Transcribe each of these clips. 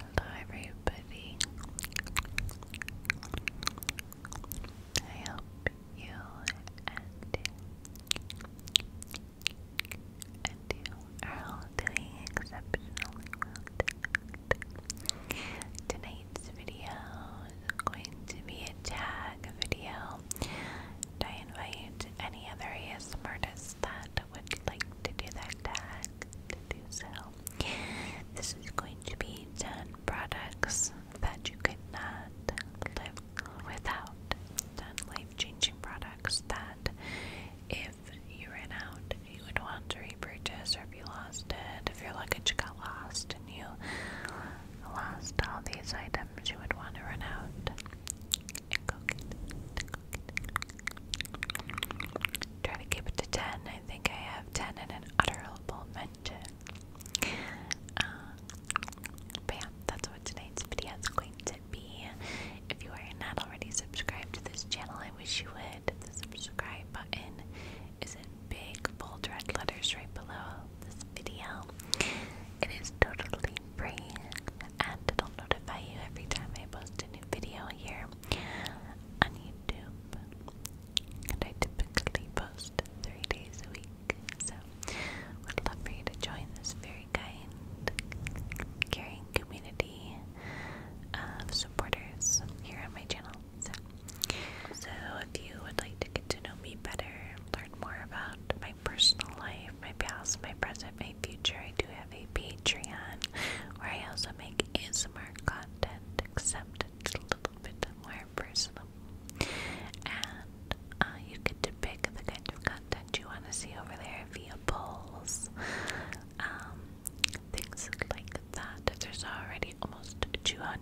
Hello, everybody. I hope you and you are all doing exceptionally well Tonight's video is going to be a tag video. I invite any other ASM artists that would like to do that tag to do so. This is going to be 10 products that you could not live without. 10 life changing products that if you ran out, you would want to repurchase, or if you lost it, if your luggage got lost and you lost all these items, you would want to run out and go get it. Go get it. Try to keep it to 10. I think I have 10 in an utterable mention. Um, but yeah, that's what tonight's video is going to be. If you are not already subscribed to this channel, I wish you would. The subscribe button is in big, bold red letters right below this video. It is totally free and it'll notify you every time I post a new video here on YouTube. And I typically post three days a week, so would love for you to join this very kind, caring community of supporters here on my channel. So, if you would like to get to know me better, learn more about my personal life, my past, my present, maybe future, I do have a Patreon where I also make ASMR content, except it's a little bit more personal. And uh, you get to pick the kind of content you want to see over there via polls, um, things like that. There's already almost 200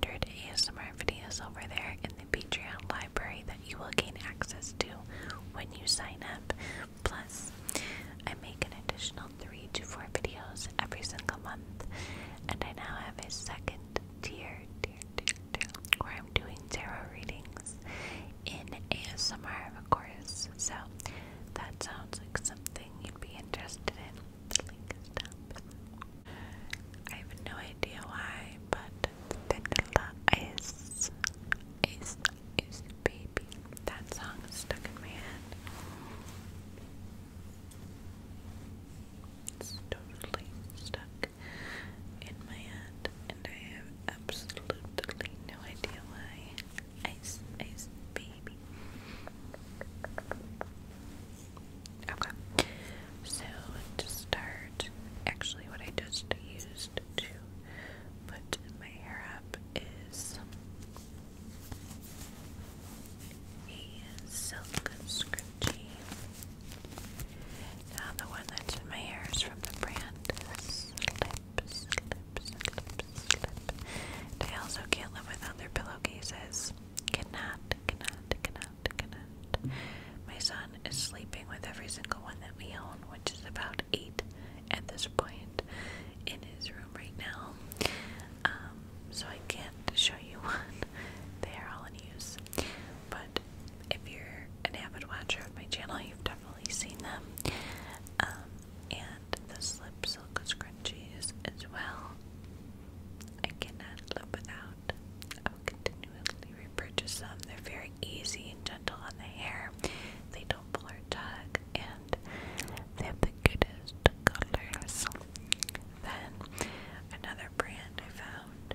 ASMR videos over there in the Patreon library that you will gain access to when you sign up, Plus, I make an additional three to four videos every single month, and I now have a second tier, where I'm doing tarot readings in ASMR, of course. So that sounds like something you'd be interested in. The link is down I have no idea why, but vanilla ice, ice, is baby. That song is stuck in my head. It's totally stuck in my head, and I have absolutely no idea why. Ice, ice, baby. Okay, so to start, actually, what I just used to put my hair up is a silk scrunchie. Now the one that's in my hair is from the brand Slip, also can't live pillowcases. Cannot, cannot, cannot, cannot. My son is sleeping with every single one that we own, which is about eight at this point in his room right now. Um, so I can't show you one. They are all in use. But if you're an avid watcher of my channel, you've definitely seen them. Um, and the slip silk scrunchies as well. I cannot live without. I will continually repurchase them. They're very easy and gentle on the hair. They don't tumbler and they have the cutest colors. Then another brand I found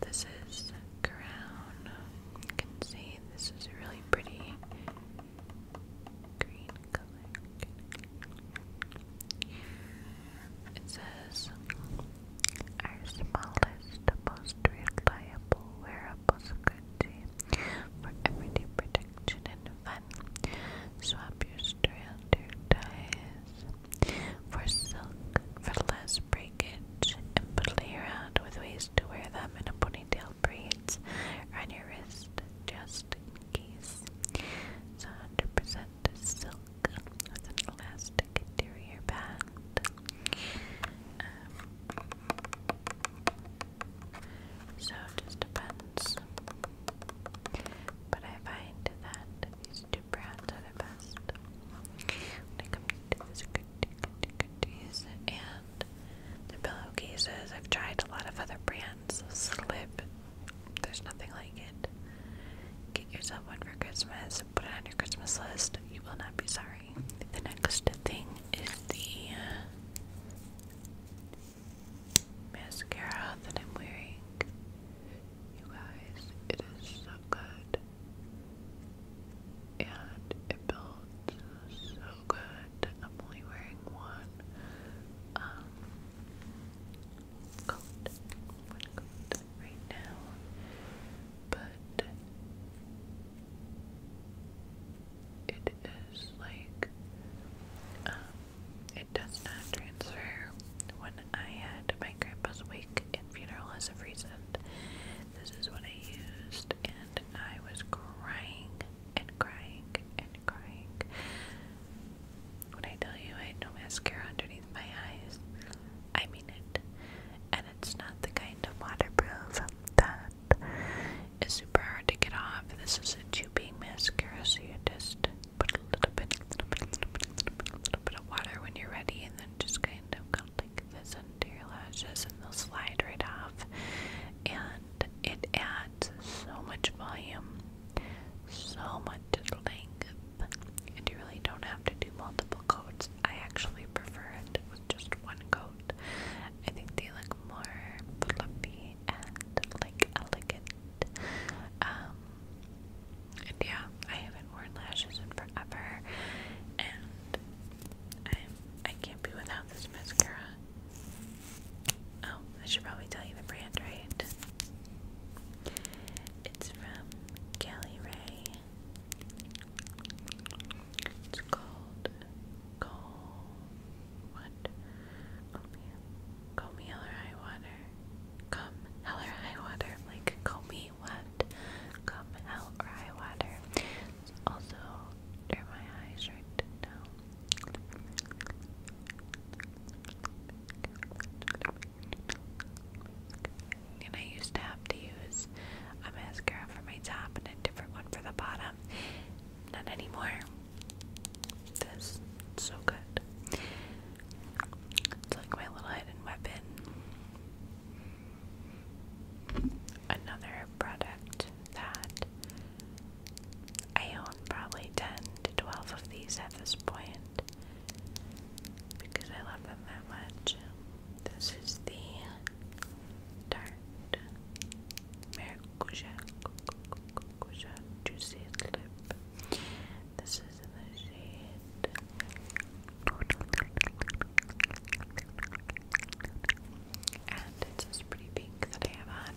this is Crown. You can see this is really pretty green color. It says, our smallest, most reliable, wearable security for everyday protection and fun. Swap your strander ties for silk for less breakage and play around with ways to wear them in a ponytail braids on your wrist just in case. It's 100% and silk with an elastic interior band. Um, so just depends. But I find that these two brands are the best and the pillow cases. I've tried a lot of other brands. Slip there's nothing like it. Get yourself one for Christmas, put it on your Christmas list. You will not be sorry. The next thing is the mascara that I'm wearing. You guys, it is so good. And it builds so good. I'm only wearing one. Um, coat, one right now, but it is like, um, it does not transfer. When I had my grandpa's wake and funeral as of recent, this is what I used, and I was crying and crying and when I tell you I had no mascara underneath my eyes, I mean it. And it's not the kind of waterproof that is super hard to get off. This is a tubing mascara, so you just put a little bit, little little bit, of water when you're ready, and then just kind of go like this under your lashes, and they'll slide right off. And it adds so much volume so much length, and you really don't have to do multiple coats. I actually prefer it with just one coat. I think they look more fluffy and like elegant. Um, and yeah, I haven't worn lashes in forever, and I I can't be without this mascara. Oh, I should probably tell you the brand, right? It's from Kelly Ray. It's called Go What? Call me hell high water. Come hell high water. Like call what? Come hell high water. also under my eyes right now. And I used to have to use a mascara for my top and a different one for the bottom. Not anymore. This so good. It's like my little hidden weapon. Another product that I own probably 10 to 12 of these at this point because I love them that much. This is the Tarte Maracuja Juicy Lip. This is the shade. And it's this pretty pink that I have on.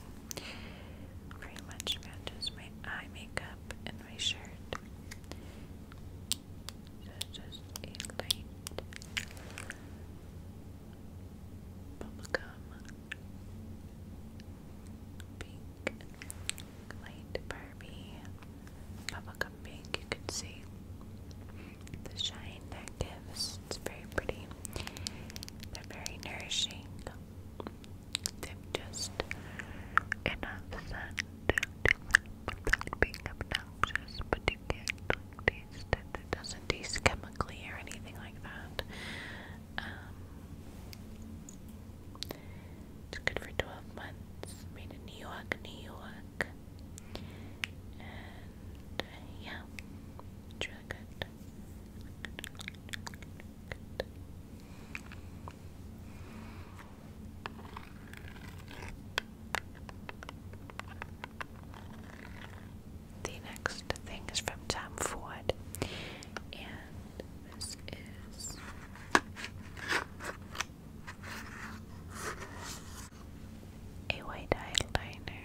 Very much matches my eye makeup. In my shirt. So just a light bubblegum pink light Barbie bubblegum pink. You can see the shine that gives. It's very pretty. They're very nourishing just enough sun to live without being obnoxious, but you can't like, taste it. doesn't taste chemically or anything like that. Um, it's good for 12 months. Made in New York, New York. And yeah, it's really the next thing is from Tom Ford, and this is a white eyeliner.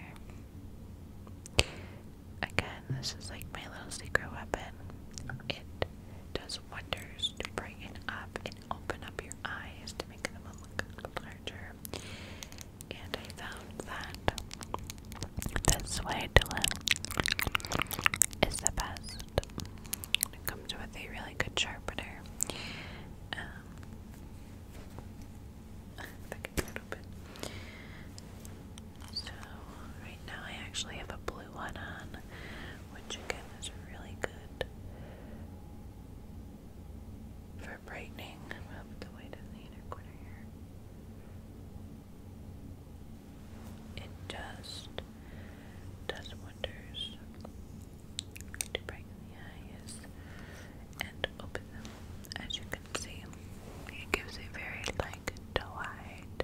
Again, this is like my little secret weapon. It does wonders to brighten up and open up your eyes to make them look larger. And I found that this way to live is the best. It comes with a really good sharpener. Um, a little bit. So right now I actually have a blue one on which again is really good for brightening. i the white in the inner corner here. It just does wonders to brighten the eyes and open them. As you can see, it gives a very delight,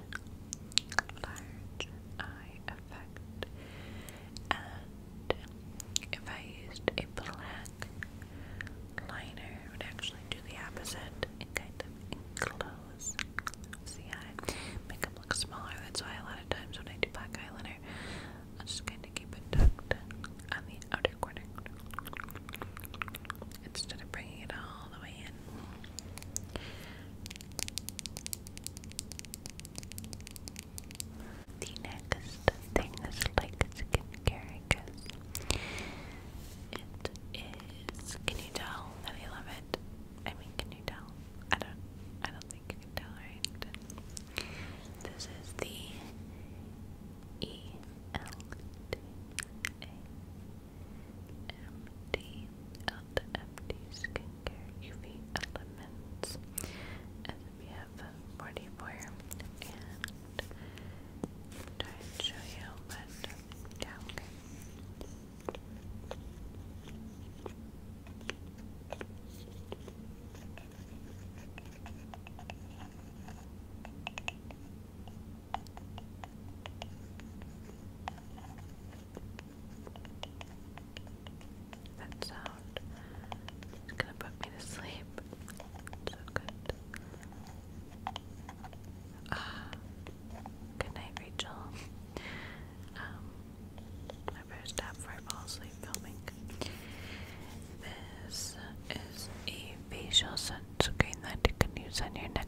large eye effect, and if I used a black liner, it would actually do the opposite and kind of close the eye. make Makeup look smaller, that's why a lot of times when I do black eyeliner, i just kind of keep it tucked on the outer corner instead of bringing it all the way in. The next thing is like skincare, I guess. It is. Can you tell that I love it? I mean, can you tell? I don't. I don't think you can tell, right? This is the E L T A MD Skincare UV Elements. And 44. And try and show you what. Yeah, Okay. That sound is gonna put me to sleep. So good. Ah, good night, Rachel. Um, I better stop fall asleep filming. This is a facial sunscreen that you can use on your neck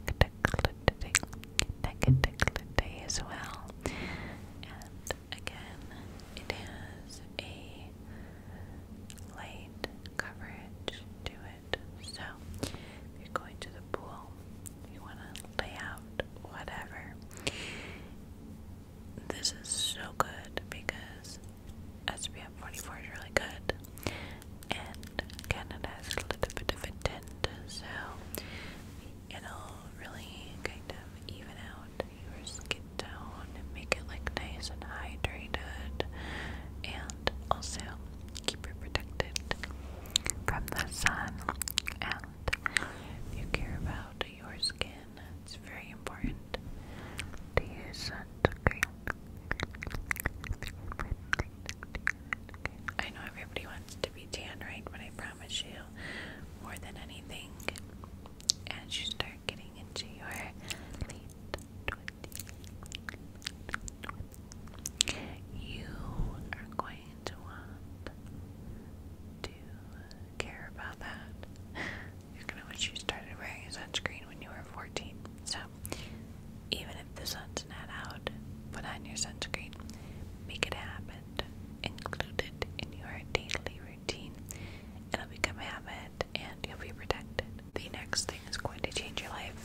negativity as well. And again, it has a light coverage to it. So you're going to the pool, you want to lay out whatever. This is so good because SPF 44 is really good, and Canada has a little bit of a tint, so we it'll really kind of even out your skin tone and make it look nice and hydrated and also keep it protected from the sun and you care about your skin it's very important to use sunscreen okay. I know everybody wants to be tan right, but I promise you, more than anything, as you start getting into your late twenties, you are going to want to care about that. You're gonna wish you started wearing a sunscreen when you were 14. So, even if the sun's not out, put on your sunscreen. Make it happen and in your daily routine. It'll become a habit and you'll be protected. The next thing is going to change your life.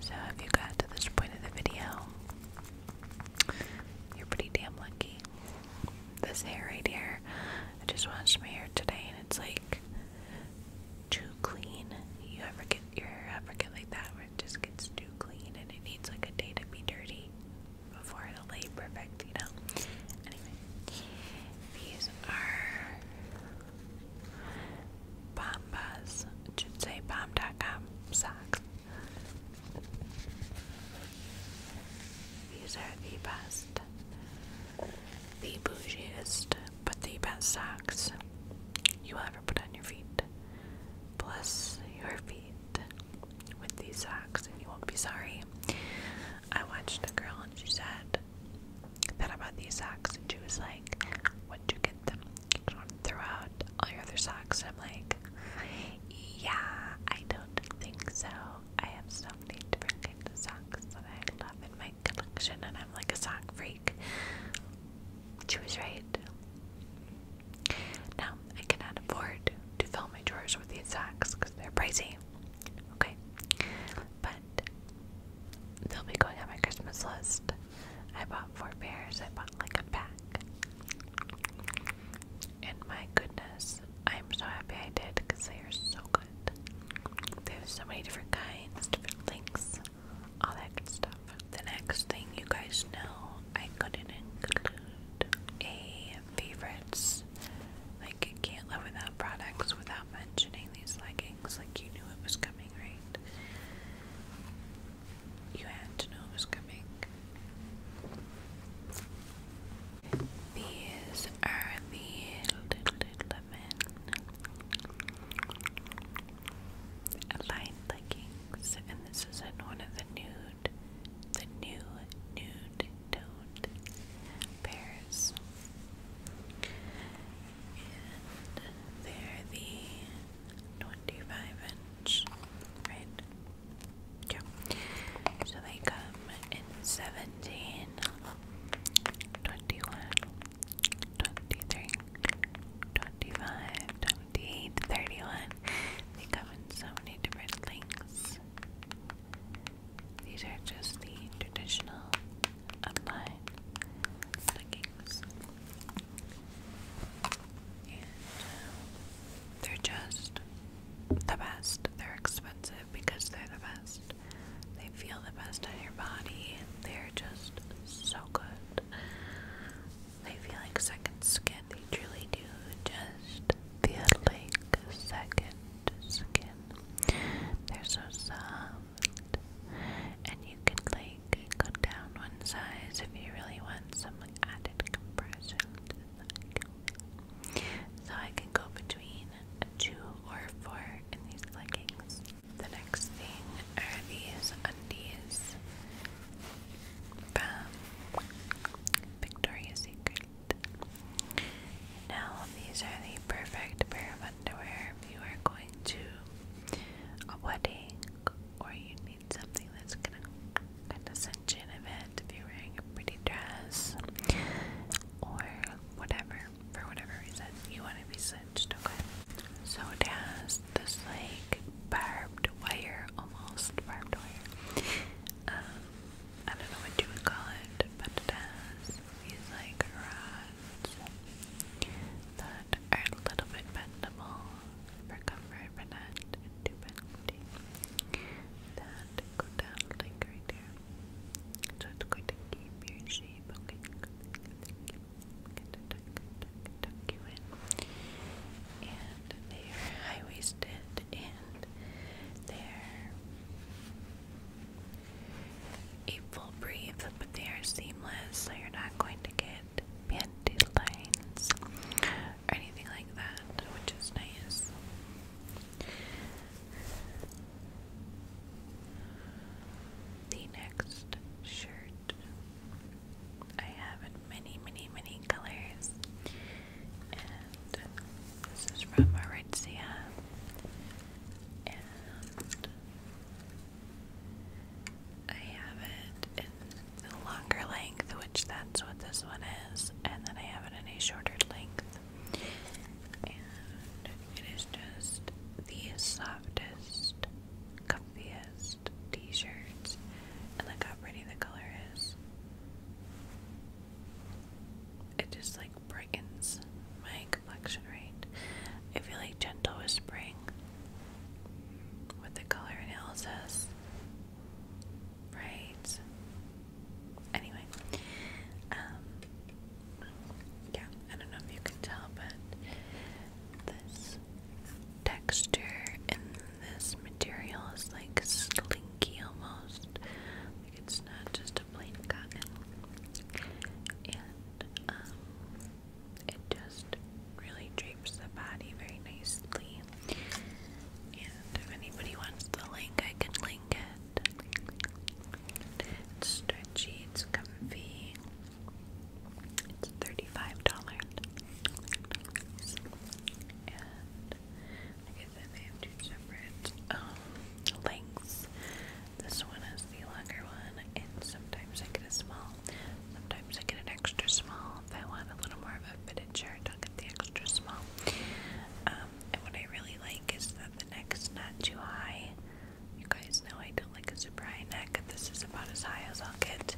So, if you got to this point in the video, you're pretty damn lucky. This hair right here, I just washed my hair today and it's like too clean. You ever get your hair ever get like that? it just gets too clean and it needs like a day to be dirty before it'll lay perfect, you know? Anyway, these are Bombas, I socks. These are the best, the bougiest, but the best socks you will put on your feet. Bless your feet with these socks, and you won't be sorry. I watched a girl, and she said that about these socks, and she was like, "When'd you get them? You don't throw out all your other socks." I'm like, "Yeah, I don't think so. I have so many different kinds of socks that I love in my collection, and I'm like a sock freak." She was right. Now, I cannot afford to fill my drawers with these socks because they're pricey. Okay. But they'll be going on my Christmas list. I bought four pairs, I bought like a pack. And my goodness, I'm so happy I did because they are so good. They have so many different kinds, different lengths all that The next thing you guys know, I couldn't include a favorites. Like, can't live without products without mentioning these leggings. Like, you knew it was coming, right? You had to know it was coming. These are the Lululemon Light leggings, and this is in one of the nude, the new nude toned pairs. And they're the 25 inch, right? Yeah. So they come in 17, 25, 28, 31. They come in so many different links. These are just the traditional online leggings. Um, they're just the best. They're expensive because they're the best. They feel the best on your body. They're just so good. They feel like second skin. They truly do just feel like second skin. They're so soft. And you can like go down one size if you really want some added compression the So I can go between two or four in these leggings. The next thing are these undies from Victoria's Secret. Now, these are the perfect pair of underwear if you are going to a wedding or you need something that's gonna kind of cinch in a if you're wearing a pretty dress or whatever, for whatever reason you want to be cinched, okay? So it has has this like barbed wire, almost barbed wire. Um, I don't know what you would call it, but it has these like rods that are a little bit bendable for comfort, but not too That go down like right there. So it's going to keep your shape. Okay, tuck, you they're high waisted and they're a full breathe, but they are seamless, so you're not going to get panty lines or anything like that, which is nice. The next shirt I have many, many, many colors. And this is from Aritzia. And I have it in the longer length, which that's what this one is, and then I have it in a shorter length. And it is just the softest comfiest t-shirts and how pretty the color is. It just like brightens my complexion, right? I feel like gentle whispering with the color analysis. Right. Anyway. Um yeah, I don't know if you can tell, but this texture and this material is like slinky almost. Like it's not just a plain cotton. And um, it just really drapes the body very nicely. And if anybody wants the link, I can link it. It's stretchy, it's comfy. It's $35. And I said, they have two separate um, lengths. This one is the longer one, and sometimes I get a small, sometimes I get an extra small. If I want a little more of a fitted shirt, I'll get the extra small. Um, and what I really like is that the neck is not too high. You guys know I don't like a super high neck. This is about as high as I'll get,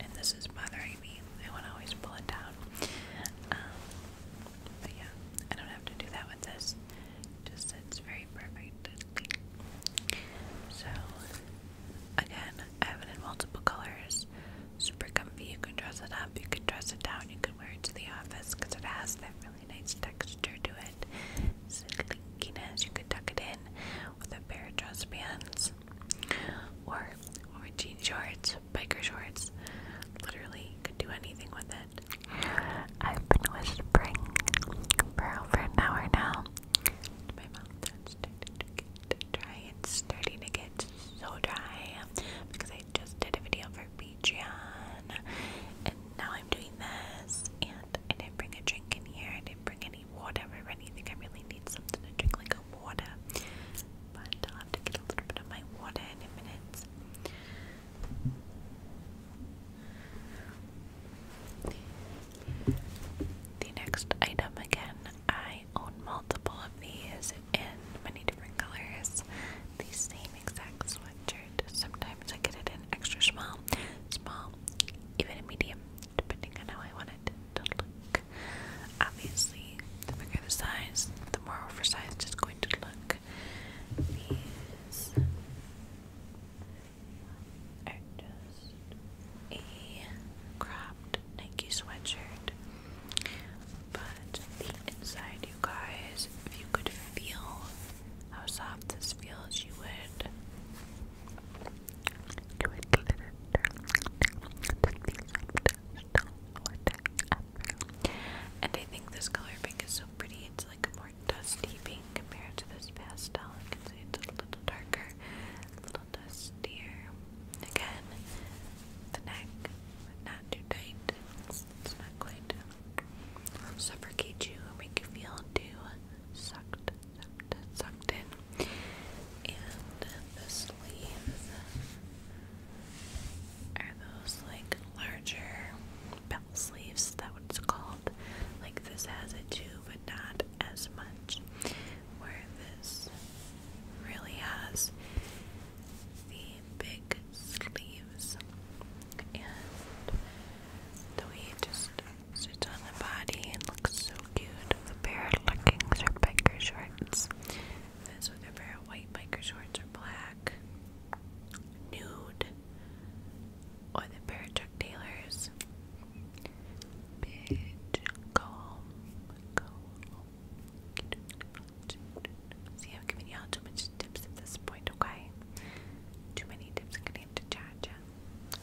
and this is bothering me I want to always pull it down. Um, but yeah, I don't have to do that with this. Just it's very perfect. So again, I have it in multiple colors. Super comfy. You can dress it up. You can dress it down. You can wear it to the office because it has that really nice texture to it. Slinkiness. You could tuck it in with a pair of dress or or jean shorts, biker shorts. Literally could do anything with it. I've been whispering for over an hour now. My mouth that's starting to get dry. It's starting to get so dry because I just did a video for Patreon and now I'm doing this and I didn't bring a drink in here. I didn't bring any water or anything. I really need something to drink like a water, but I'll have to get a little bit of my water in a minute. The next item again, I own multiple of these in many different colors. The same exact sweatshirt. Sometimes I get it in extra small, small, even a medium, depending on how I want it to look. Obviously, the bigger the size, the more oversized it's going to look. These just a cropped Nike sweatshirt. But the inside, you guys, if you could feel how soft this feels, you would. You would get it. And I think this color pink is so pretty. It's like a more dusty pink compared to this pastel. You can see it's a little darker, a little dustier. Again, the neck, not too tight. It's, it's not quite um, suffocate you or make you feel too sucked, sucked, sucked in. And the sleeves are those like larger bell sleeves, that what it's called. Like this has it too, but not as much. Where this really has the big sleeves and the way it just sits on the body and looks so cute with a pair of leggings or biker shorts this we could wear white biker shorts or black, nude, or the pair of Parachuck Taylors. Bitch, calm, calm. See, I've given y'all too much tips at this point, okay? Too many tips, I'm gonna charge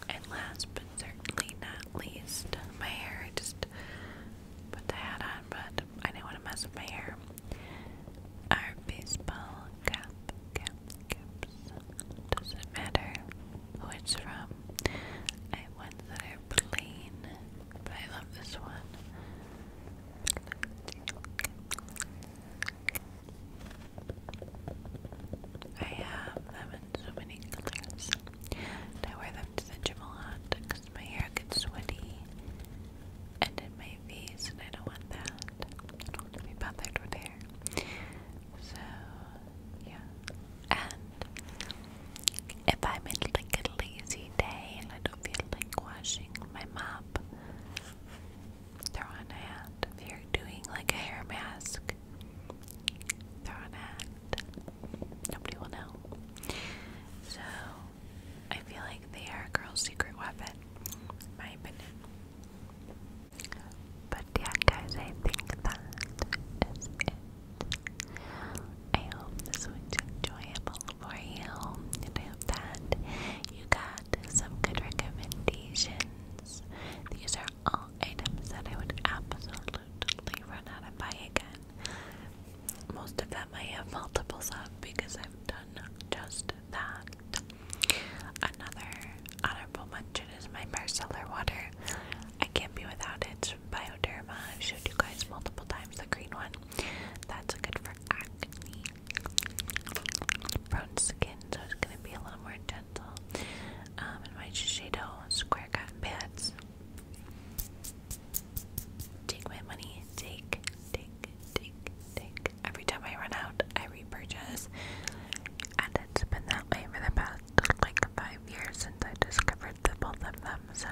And last but certainly not least, my hair just put the hat on, but I didn't want to mess up my hair. Our baseball cap, cap, caps. Doesn't matter who it's from. I ones that are plain, but I love this one. I have them in so many colors. I wear them to the gym a lot because my hair gets sweaty and in my face, and I don't want that. I don't want to be bothered with hair. So, yeah. And if I'm in like a lazy day and I don't feel like washing my mop, throw on a hat. If you're doing like a hair mask, throw on a Nobody will know. So, I feel like they are a girl's secret weapon, in my opinion. But yeah, guys, I think that is it. I hope this was enjoyable for you, and I hope that you got some good recommendations. These are all items that I would absolutely run out and buy again. Most of them I have multiples of because I've done just that. Another honorable mention is my Marcellar water. I can't be without it. Bioderma. I've showed you guys multiple times the green one. That's good for acne. Prone skin, so it's gonna be a little more gentle. Um, and my Shiseido Square Cotton Pads. Take my money. Take, take, take, take. Every time I run out, I repurchase. And it's been that way for the past like five years since I discovered the both of them. So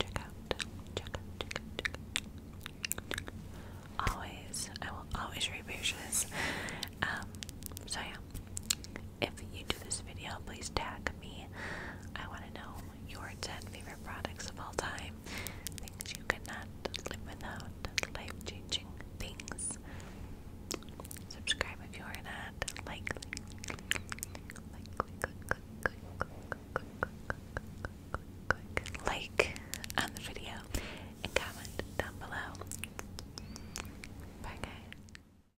check out, check out, check out, check out. Always, I will always repurchase. Um, so yeah, if you do this video, please tag me. I want to know your 10 favorite products of all time. Things you cannot live without. Life changing things. Subscribe if you are not. Like, click, like, click, click, click, click, click, click, click, like on the video and comment down below. Bye, guys.